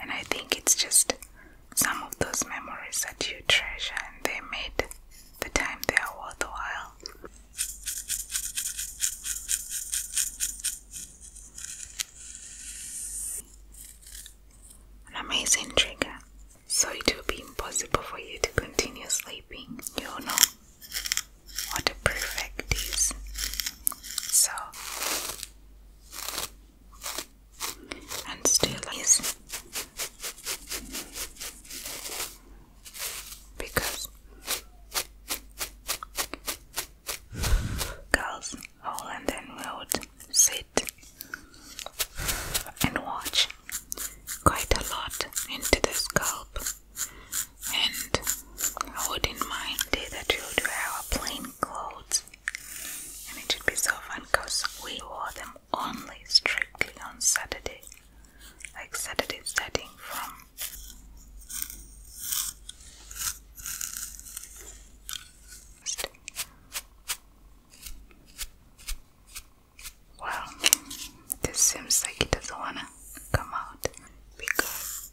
And I think it's just some of those memories that you treasure and they made the time they are worthwhile. An amazing trigger. So it will be impossible for you to continue sleeping. You'll know what a perfect is. So and still is because girls all and then we sit and watch quite a lot into the scalp and I wouldn't mind that you wear plain clothes and it should be so fun because we wore them only strictly on Saturday. Like Saturday starting from well, this seems like it doesn't wanna come out because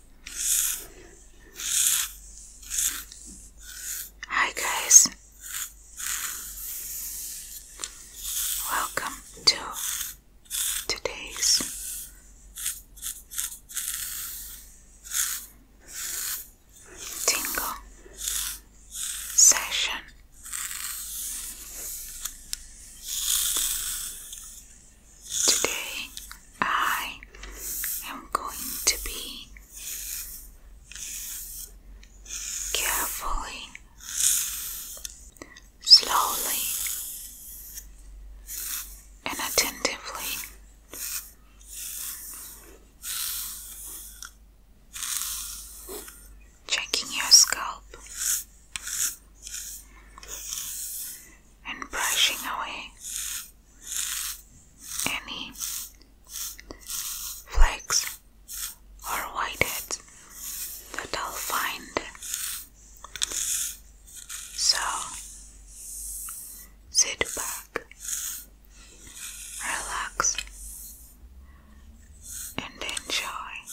Hi, guys, welcome to today's. Tingle session. Today I am going to be carefully, slowly, and attentively checking your scalp and brushing away any flakes or whiteheads that will find. So sit back, relax, and enjoy.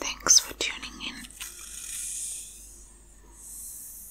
Thanks for tuning in.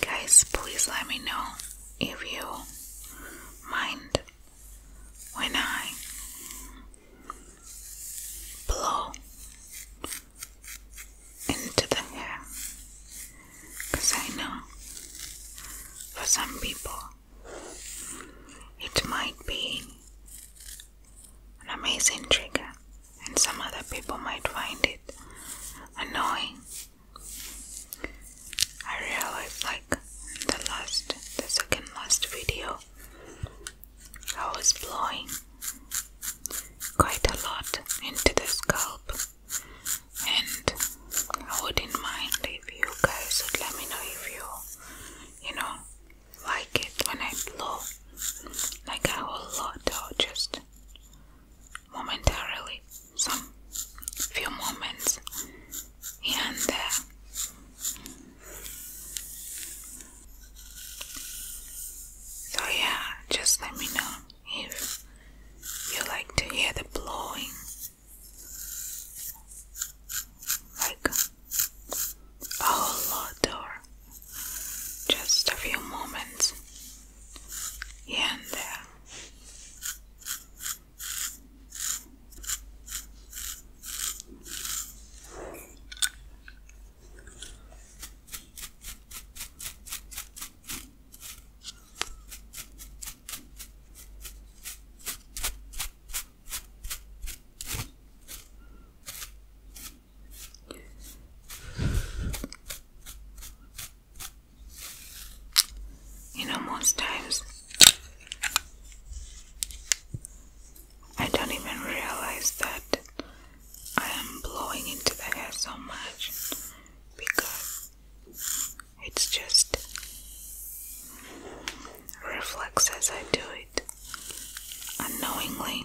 Guys, please let me know if you mind when I blow into the hair because I know for some people it might be an amazing trigger, and some other people might find it annoying. I realized, like in the last, the second last video, I was blowing quite a lot into the scalp. And I wouldn't mind if you guys would let me know if you, you know, like it when I blow like a whole lot or just momentarily, some few moments and there. So, yeah, just let me know if you like to hear the blowing, like a whole lot, or just a few moments here and there. You know, most times I don't even realize that I am blowing into the hair so much because it's just reflex as I do it unknowingly.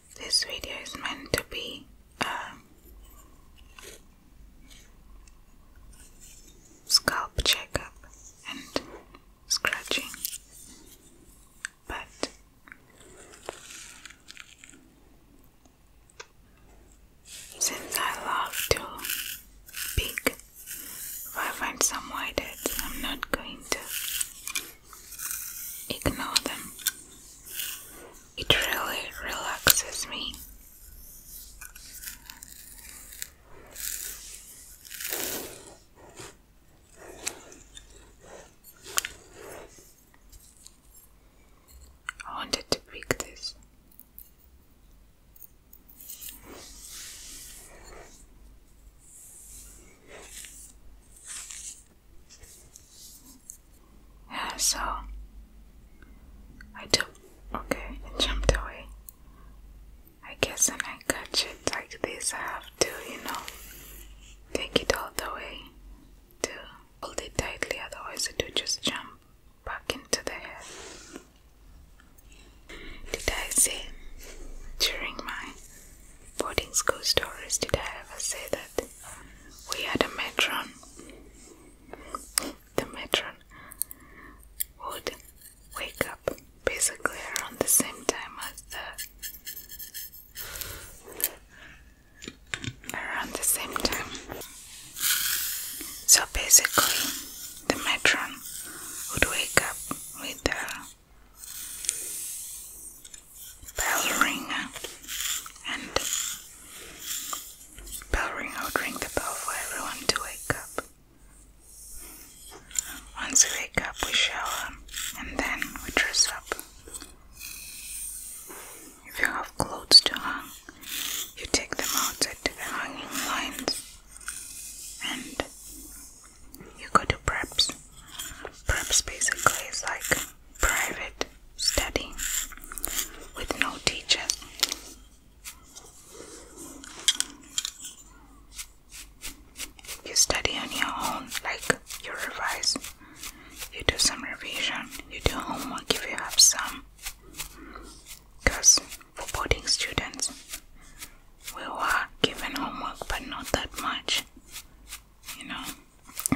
This video is meant to be a um, scalp checkup and scratching, but since I love to pick, if I find some white I'm not going to Ignore them. It really relaxes me. I wanted to pick this. Yeah, so I do okay, it jumped away. I guess when I catch it like this I have to, you know, take it all the way to hold it tightly, otherwise it would just jump back into the head. Did I say during my boarding school stories did I ever say that um, we had a matron? The matron would wake up basically around the same time as the around the same time. So basically the matron would wake up with her bell ring and bell ring will ring the bell for everyone to wake up. Once we wake up, we shower and then we dress up. If you have clothes to hang, you take them outside to the hanging lines and you go to preps. Preps basically is like private study with no teacher. You study on your own, like you revise, you do some revision, you do homework if you have some. Because for boarding students, we were given homework, but not that much, you know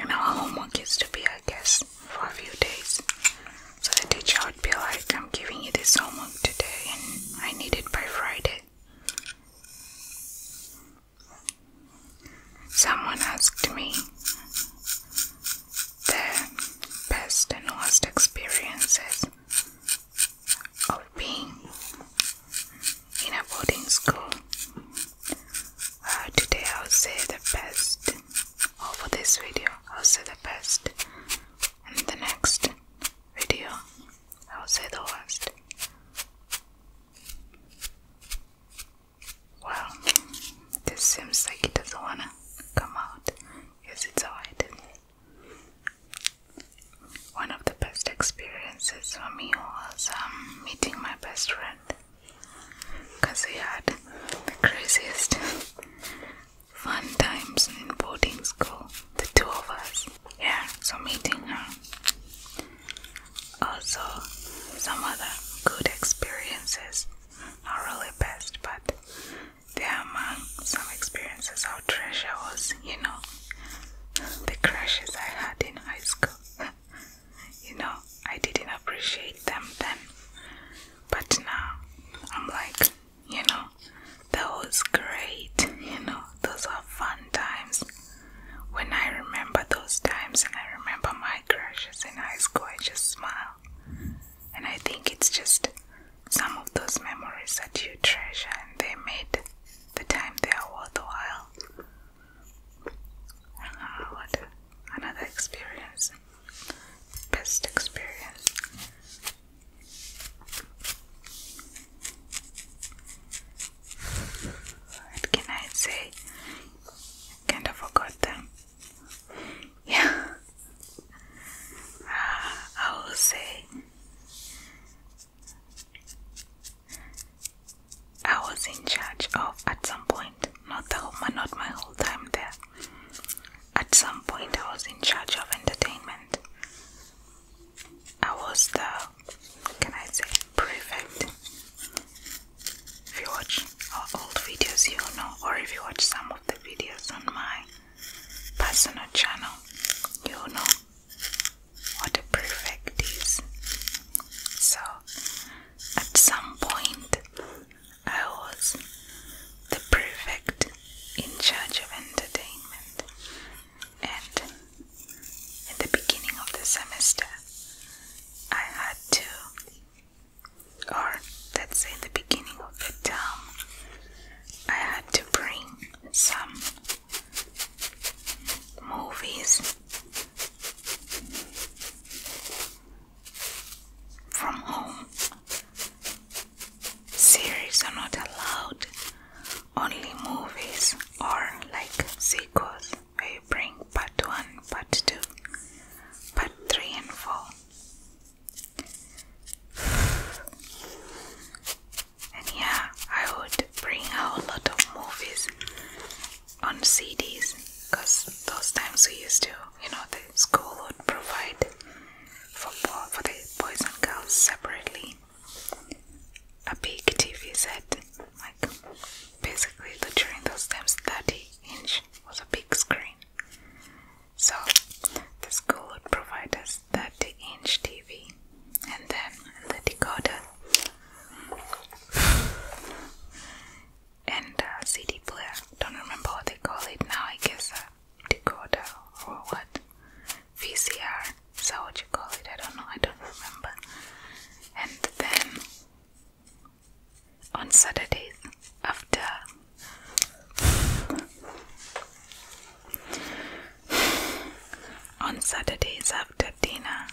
and our homework is to be I guess for a few days. So the teacher would be like, I'm giving you this homework today and I need it by Friday. Someone asked me the best and worst experiences of being in a boarding school. Uh, today I'll say the best, or for this video, I'll say the best, and the next video, I'll say the worst. Well, this seems like it doesn't wanna come out. Yes, it's alright. One of the best experiences for me was um, meeting my best friend because we had the craziest fun times in boarding school, the two of us. Yeah, so meeting her. Also, some other good experiences, not really best, but there among some experiences i treasure was, you know, the crushes I had in high school. you know, I didn't appreciate them then, but now I'm like, you know, those was great, you know, those are fun times. When I remember those times and I remember my crushes in high school, I just smile. And I think it's just some of those memories that you treasure and they made the time they are worthwhile. Wow, what another experience. Best experience. What can I say? Kind of forgot them. Yeah. Uh, I will say I was in charge of at some point, not the whole, not my whole time there. At some point, I was in charge of entertainment. I was the, can I say, prefect. If you watch our old videos, you know, or if you watch some of the videos on my personal channel, you know what a prefect is. So at some point, I was the prefect in charge of entertainment, and at the beginning of the semester, I had to, or let's say, the beginning of the term, I had to bring some movies from home. Series are not allowed, only movies or like sequels I bring part 1, part 2, part 3, and 4. And yeah, I would bring a lot of movies on CDs because those times we used to, you know, the school would provide for, for the boys and girls separately a big TV set. Like, basically, during those times, 30 inch was a big screen. So, the school would provide us 30 inch TV and then the decoder and uh, CD player. Don't remember what they call it now. I guess a uh, decoder or what? VCR. Is that what you call it? I don't know. I don't remember. And then on Saturdays after. On Saturdays after dinner,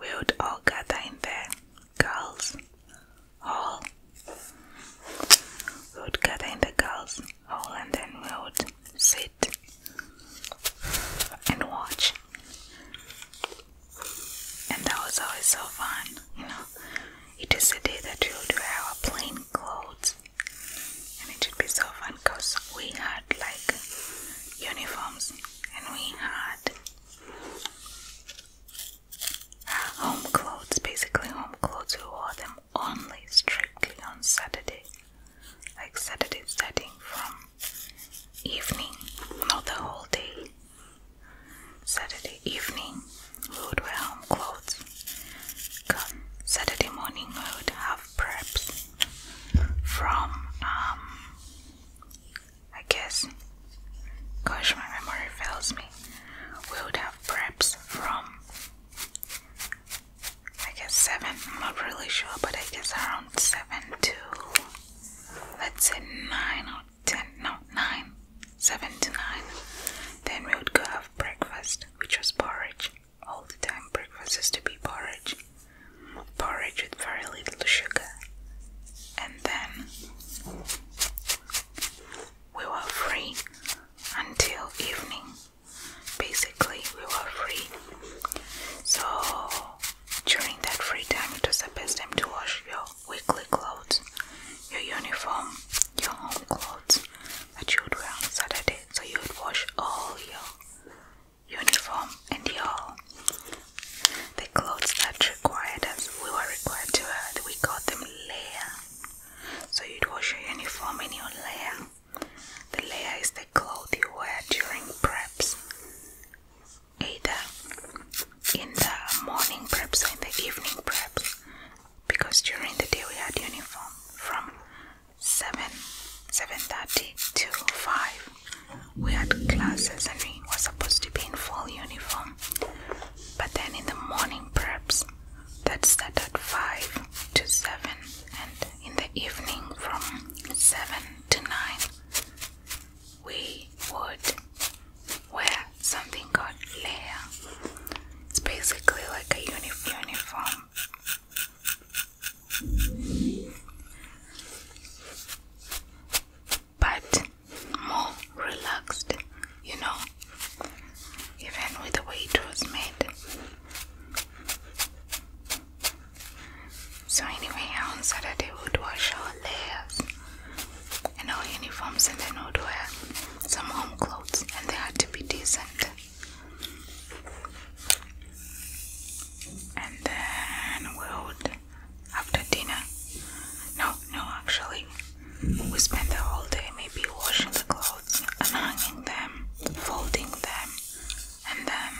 we would all gather in the girls' hall. We would gather in the girls' hall and then we would sit and watch. And that was always so fun, you know. It is a day that we would wear our plain clothes, and it would be so fun because we had like uniforms and we had Home clothes, basically home clothes, we wore them only strictly on Saturday, like Saturday starting from evening, not the whole day. Saturday evening, we would wear home clothes. Come Saturday morning, we would have preps from um, I guess. Gosh, my memory fails me. We would have preps from I guess seven. I'm not really sure, but I guess around seven to let's say nine or ten. No, nine. Seven to nine. Then we would go have breakfast, which was porridge. All the time, breakfast used to be porridge porridge with very little sugar, and then we were free until evening. Basically, we were free. So, during that free time, it was the best time to wash your weekly clothes, your uniform, your home clothes that you would wear on Saturday. So, you would wash all your uniform and your the clothes that required us, we were required to add, we got them layer. So you'd wash your uniform in your layer. The layer is the cloth you wear during preps, either in the morning preps or in the evening preps, because during the day we had uniform from seven, seven thirty to five we had classes and we were supposed to be in full uniform. But then in the morning preps that start 5 to 7 and in the evening from 7 to 9 we would wear something called layer. It's basically like a uniform but more relaxed, you know, even with the way it was made. So, anyway, on Saturday, we would wash our layers and our uniforms, and then we would wear some home clothes, and they had to be decent. And then we would after dinner. No, no, actually, we spent the whole day maybe washing the clothes, unhanging them, folding them, and then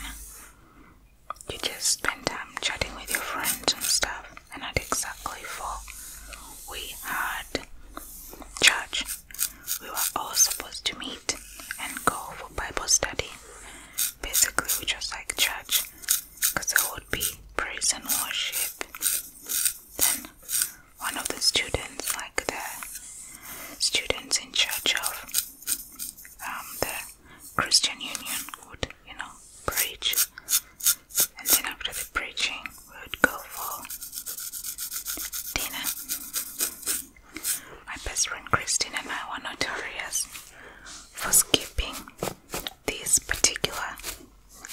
you just spend time chatting with your friends and stuff. And at exactly for, we had church. We were all supposed to meet and go for Bible study. Basically, we just like church, because I would be prison worship. Then one of the students, like the students in charge of um, the Christian Union, would you know preach, and then after the preaching, we would go for dinner. My best friend Christine and I were notorious for skipping this particular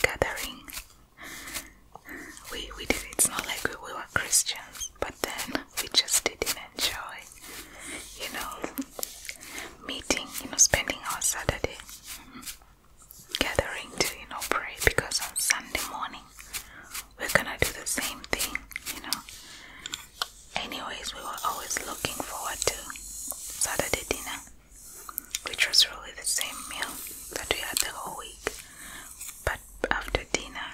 gathering. We we did It's not like we, we were Christians, but then we just didn't enjoy, you know, meeting, you know, spending our Saturday gathering to, you know, pray because on Sunday morning we're gonna do the same thing, you know. Anyways, we were always looking forward to Saturday dinner which was really the same meal that we had the whole week, but after dinner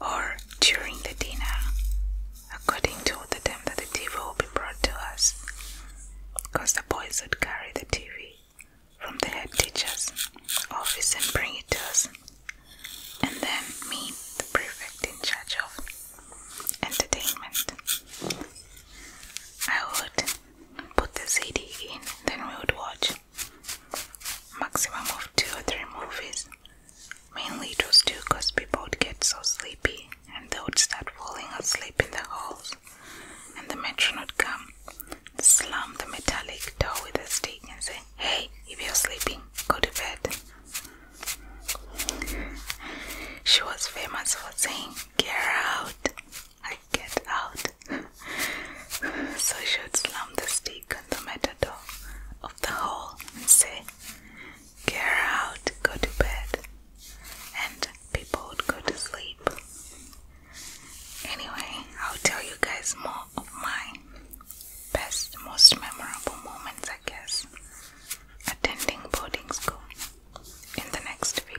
or during the dinner, according to the time that the TV will be brought to us, because the boys would carry the TV from the head teacher's office and bring it to us, and then me, the prefect in charge of entertainment. I would put the CD in, then we would watch maximum of two or three movies. Mainly it was two people would get so sleepy and they would start falling asleep in the halls. And the matron would come, slam the metallic door with a stick and say, Hey, if you're sleeping, go to bed. She was famous for saying, Get out, I get out. so she would slam the stick on the metal door of the hall and say, Get out, go to bed. And people would go to sleep. Anyway, I'll tell you guys more of my best, most memorable moments, I guess, attending boarding school in the next video.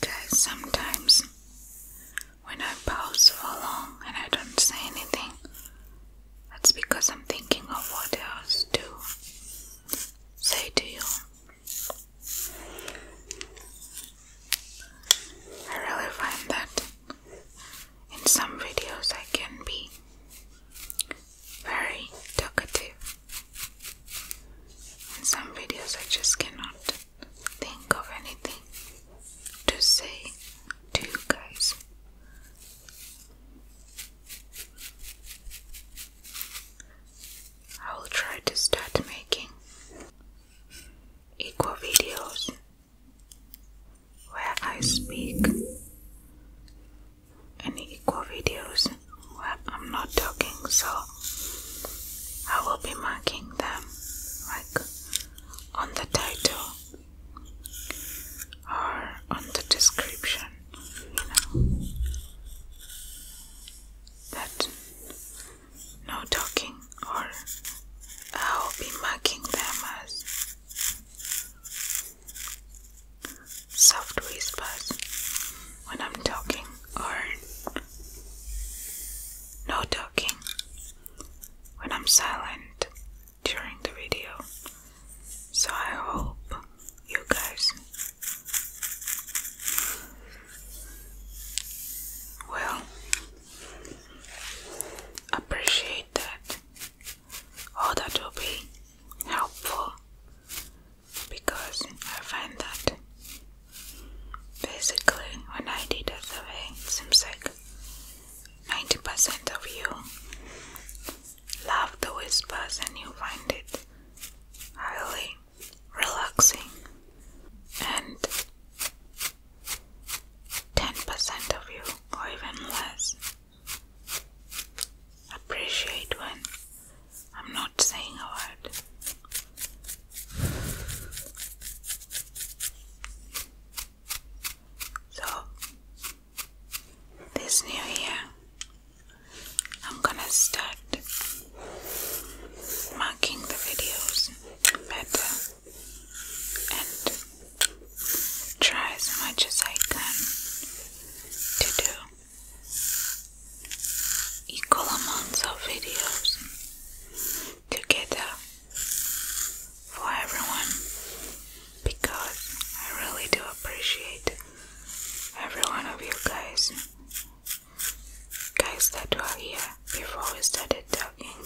Guys, sometimes when I pause for long and I don't say anything, that's because I'm thinking of what else to say to you. I really find that in some videos I can be very talkative in some videos, I just cannot think of anything to say to you guys. I will try to start making equal videos where I speak any equal videos where I'm not talking, so I will be marking them like on the title or on the description, you know, that no talking, or I will be marking them as soft whispers when I'm talking or no talking when I'm silent during the video. So I hope you guys will appreciate that. All that will be helpful because I find that basically when I did a it seems like 90% of you love the whispers and you find it highly relaxing, and 10% of you, or even less, appreciate when I'm not saying a word. So, this new year, I'm gonna start marking the videos better and try as much as I can to do equal amounts of videos together for everyone because I really do appreciate every one of you guys guys that were here before we started talking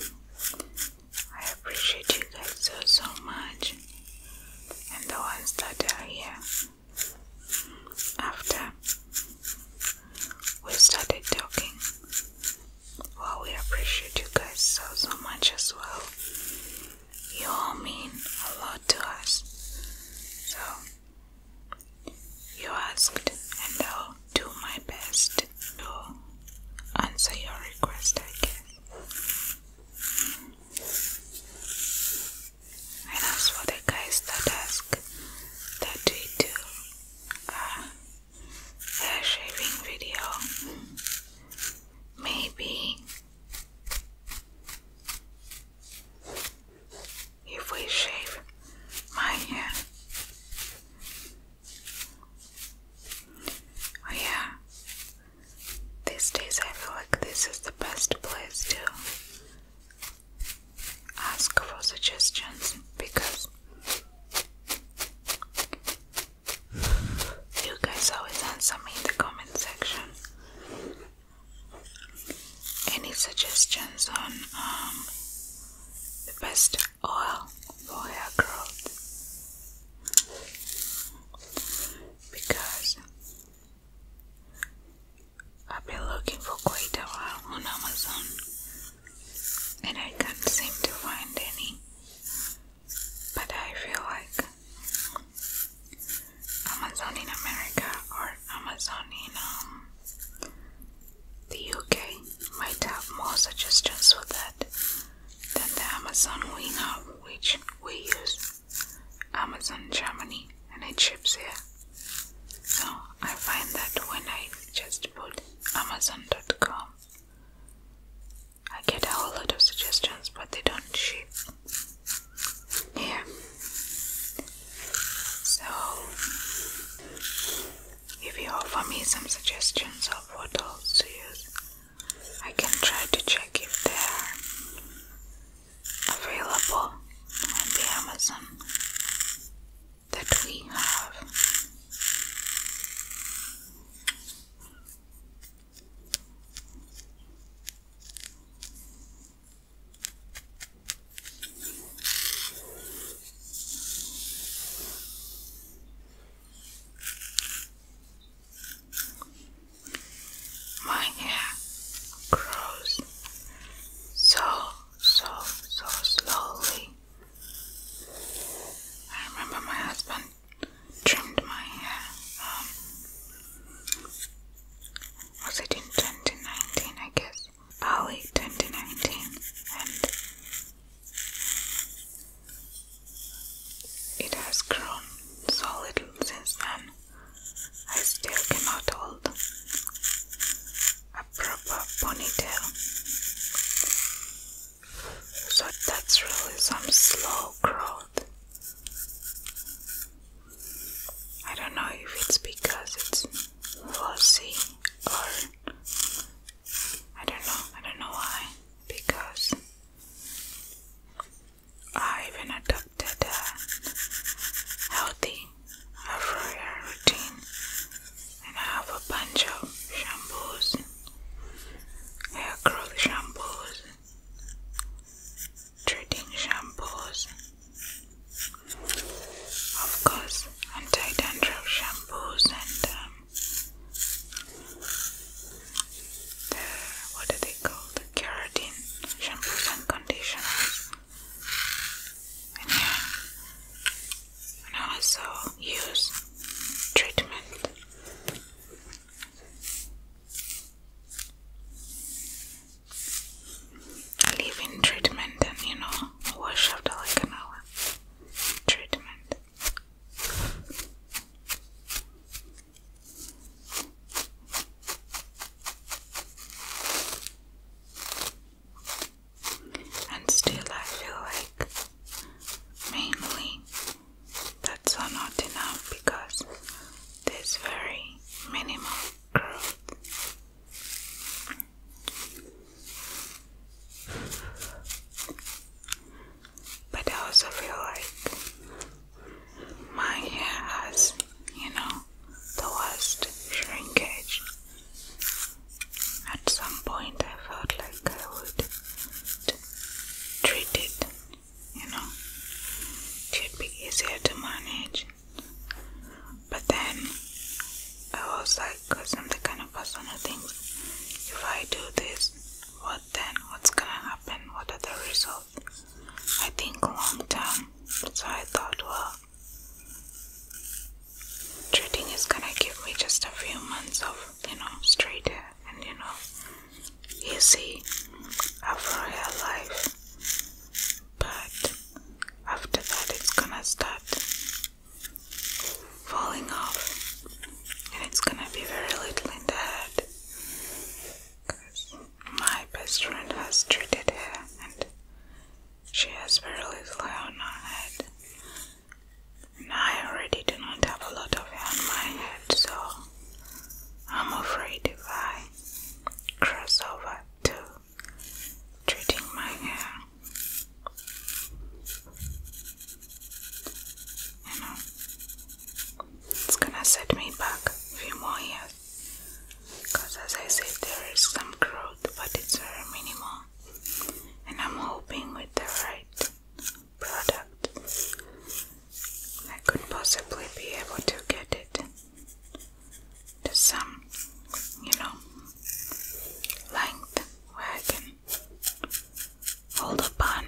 I appreciate you guys so so much and the ones that are here after we started talking, well, we appreciate you guys so so much as well. You all mean a lot to us. So you asked, and I'll do my best to answer your request, I guess. And as for the guys that ask that we do uh, a hair shaving video, maybe if we shave my hair. Oh, yeah, these days I feel like this is the best place to ask for suggestions because you guys always answer me in the comment section. Any suggestions on um, the best oil for hair growth? Because I've been looking for quite a while on Amazon and I can't seem to find any. But I feel like Amazon in America or Amazon in um, the UK might have more suggestions for that than the Amazon we know, which we use. Amazon Germany and it ships here. So I find that when I just put Amazon.com, I get a whole lot of suggestions, but they don't ship here. So if you offer me some suggestions of what else to use, I can try to check if there are available on the Amazon that we have. My hair grows so, so, so slowly. I remember my husband trimmed my hair. Um, was it in 2019? I guess early 2019, and it has grown so since then. I still cannot hold a proper ponytail. So that's really some slow growth. I don't know if it's because it's flossy or I don't know, I don't know why. Because I even at conducted a healthy afro hair routine and I have a bunch of shampoos, hair growth shampoos, treating shampoos, of course anti-dandruff shampoos and um, the, what do they call the keratin shampoos and conditioners and also use treatment. Leave in treatment and you know, wash after like an hour. Treatment and still I feel like mainly that's all not enough because there's very minimal growth. But I also feel like my hair has you know, the worst shrinkage. At some point, I felt like I would treat it, you know, it should be easier to manage. But then I was like, because I'm the kind of person who thinks if I do this, what then? What's gonna happen? What are the results? I think long term. So I thought, well, Treating is gonna give me just a few months of, you know, straight and, you know, easy afro hair life. But after that, it's gonna start falling off and it's gonna be very little in the head. Because my best friend has treated her and she has barely little hair on her head. And I already do not have a lot of hair on my head, so I'm afraid if I cross over to treating my hair, you know, it's gonna set me back a few more years because as I said there is some growth but it's very minimal and I'm hoping with the right product I could possibly be able to get it to some you know length where I can hold a bun.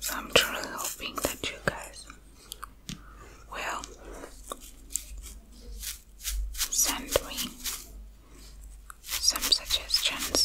so I'm truly hoping that you guys well, send me some suggestions.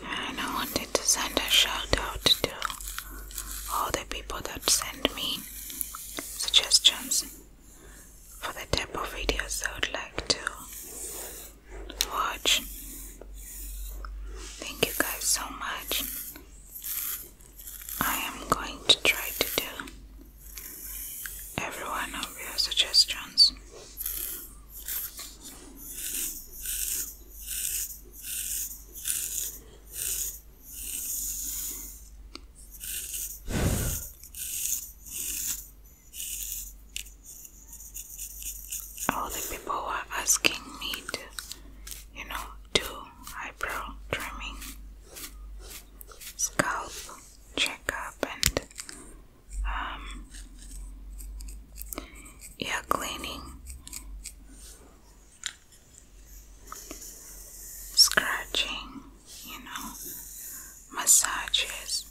I wanted to send a shout out to all the people that send me suggestions for the type of videos I would like to watch. Thank you guys so much. I am going to try to do every of your suggestions. All the people were asking me to, you know, do eyebrow trimming, scalp checkup, and um, ear cleaning, scratching, you know, massages.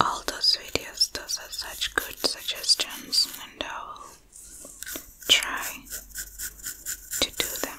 All those videos, those are such good suggestions, and I'll try to do them.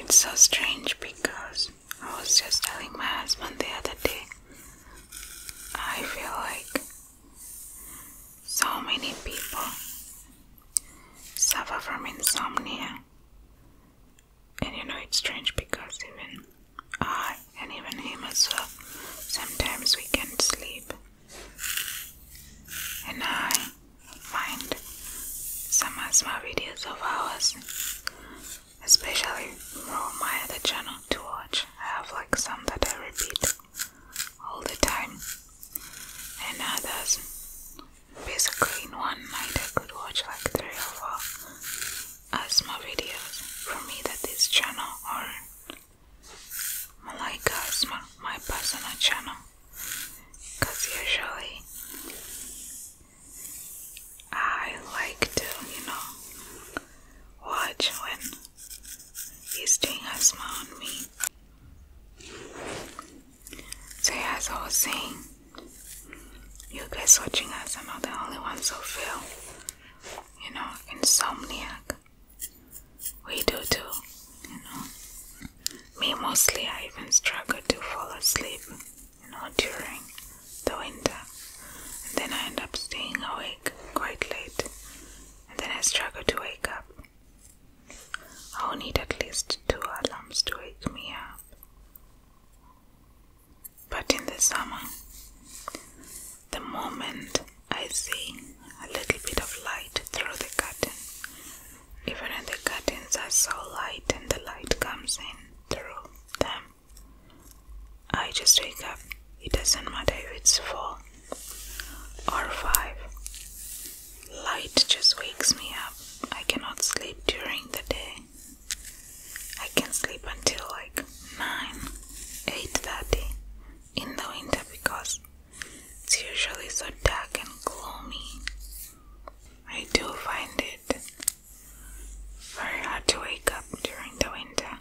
It's so strange because I was just telling my husband the other day. I feel like so many people suffer from insomnia. And you know, it's strange because even I, and even him as well, sometimes we can't sleep. And I find some of my videos of ours, especially from my other channel, to watch. I have like some that I repeat all the time, and others basically in one night I could watch like three or four asthma videos from either this channel or Malaika Asthma, my personal channel, because usually I like to, you know, watch when He's doing a smile on me. So yeah, as I was saying, you guys watching us, I'm not the only ones who feel, you know, insomniac. We do too, you know. Me mostly, I even struggle to fall asleep, you know, during the winter. And then I end up staying awake quite late and then I struggle to wake up. I'll need at least two alarms to wake me up. But in the summer, the moment I see a little bit of light through the curtain, even when the curtains are so light and the light comes in through them, I just wake up it doesn't matter if it's four or five. Light just wakes me up. I cannot sleep during the day. I can sleep until like 9, 8.30 in the winter because it's usually so dark and gloomy. I do find it very hard to wake up during the winter,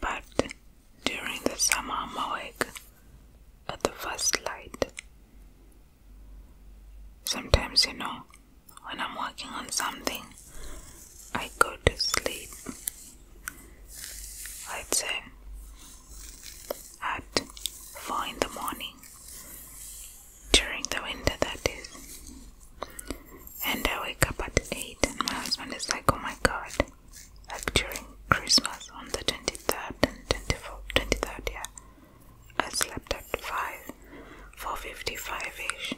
but during the summer mawig at the first light. Sometimes, you know, when I'm working on something, I go to sleep. I'd say at four in the morning during the winter, that is. And I wake up at eight, and my husband is like, Oh my god, during like during Christmas on the 23rd and 24th, 23rd, yeah, I slept at 5, 4.55ish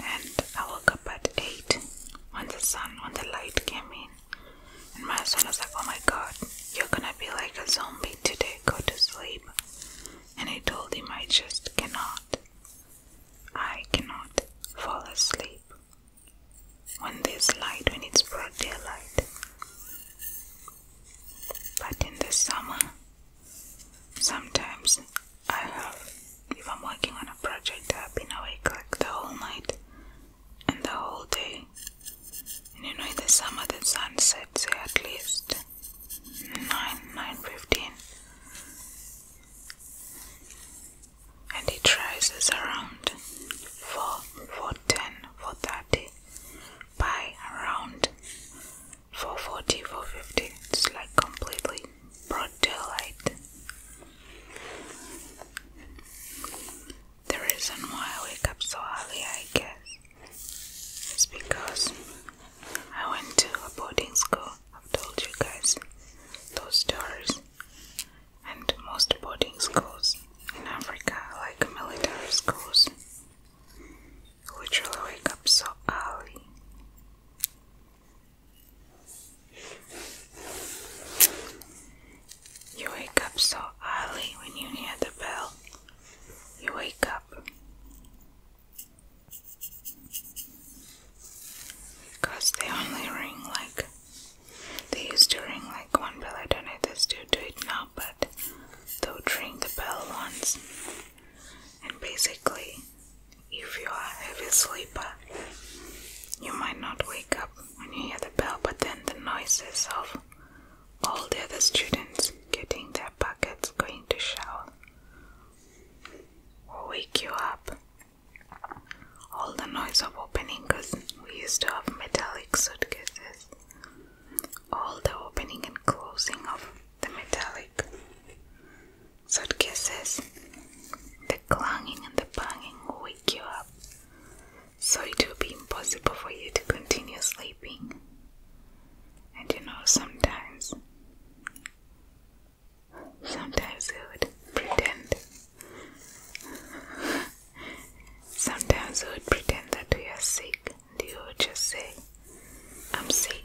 and I woke up at 8 when the sun, when the light came in and my son was like, oh my god, you're gonna be like a zombie today, go to sleep and I told him I just cannot I cannot fall asleep when there's light, when it's broad light, But in the summer, sometimes I have, if I'm working on a project, I've been awake like the whole night and the whole day. And you know, in the summer, the sun sets at least nine, nine fifteen and it rises around 4, ten, 410, thirty, by around 440, 450. It's like completely broad daylight. The reason why I wake up so early, I guess, is because I went to a boarding school I've told you guys those stories. And most boarding schools in Africa, like military schools, literally wake up so early. You wake up so early when you hear the bell. You wake up. Because they only ring like they used to ring like one bell. I don't know if this dude do it now, but they will ring the bell once. And basically, if you are a heavy sleeper, you might not wake up when you hear the bell, but then the noises of all the other students getting their buckets, going to shower, will wake you up. All the noise of opening because we used to have metallic suitcases. All the opening and closing of the metallic suitcases, the clanging and the banging will wake you up, so it will be impossible for you to continue sleeping. And you know, sometimes Sometimes we would pretend. Sometimes I would pretend that we are sick, and would just say, I'm sick.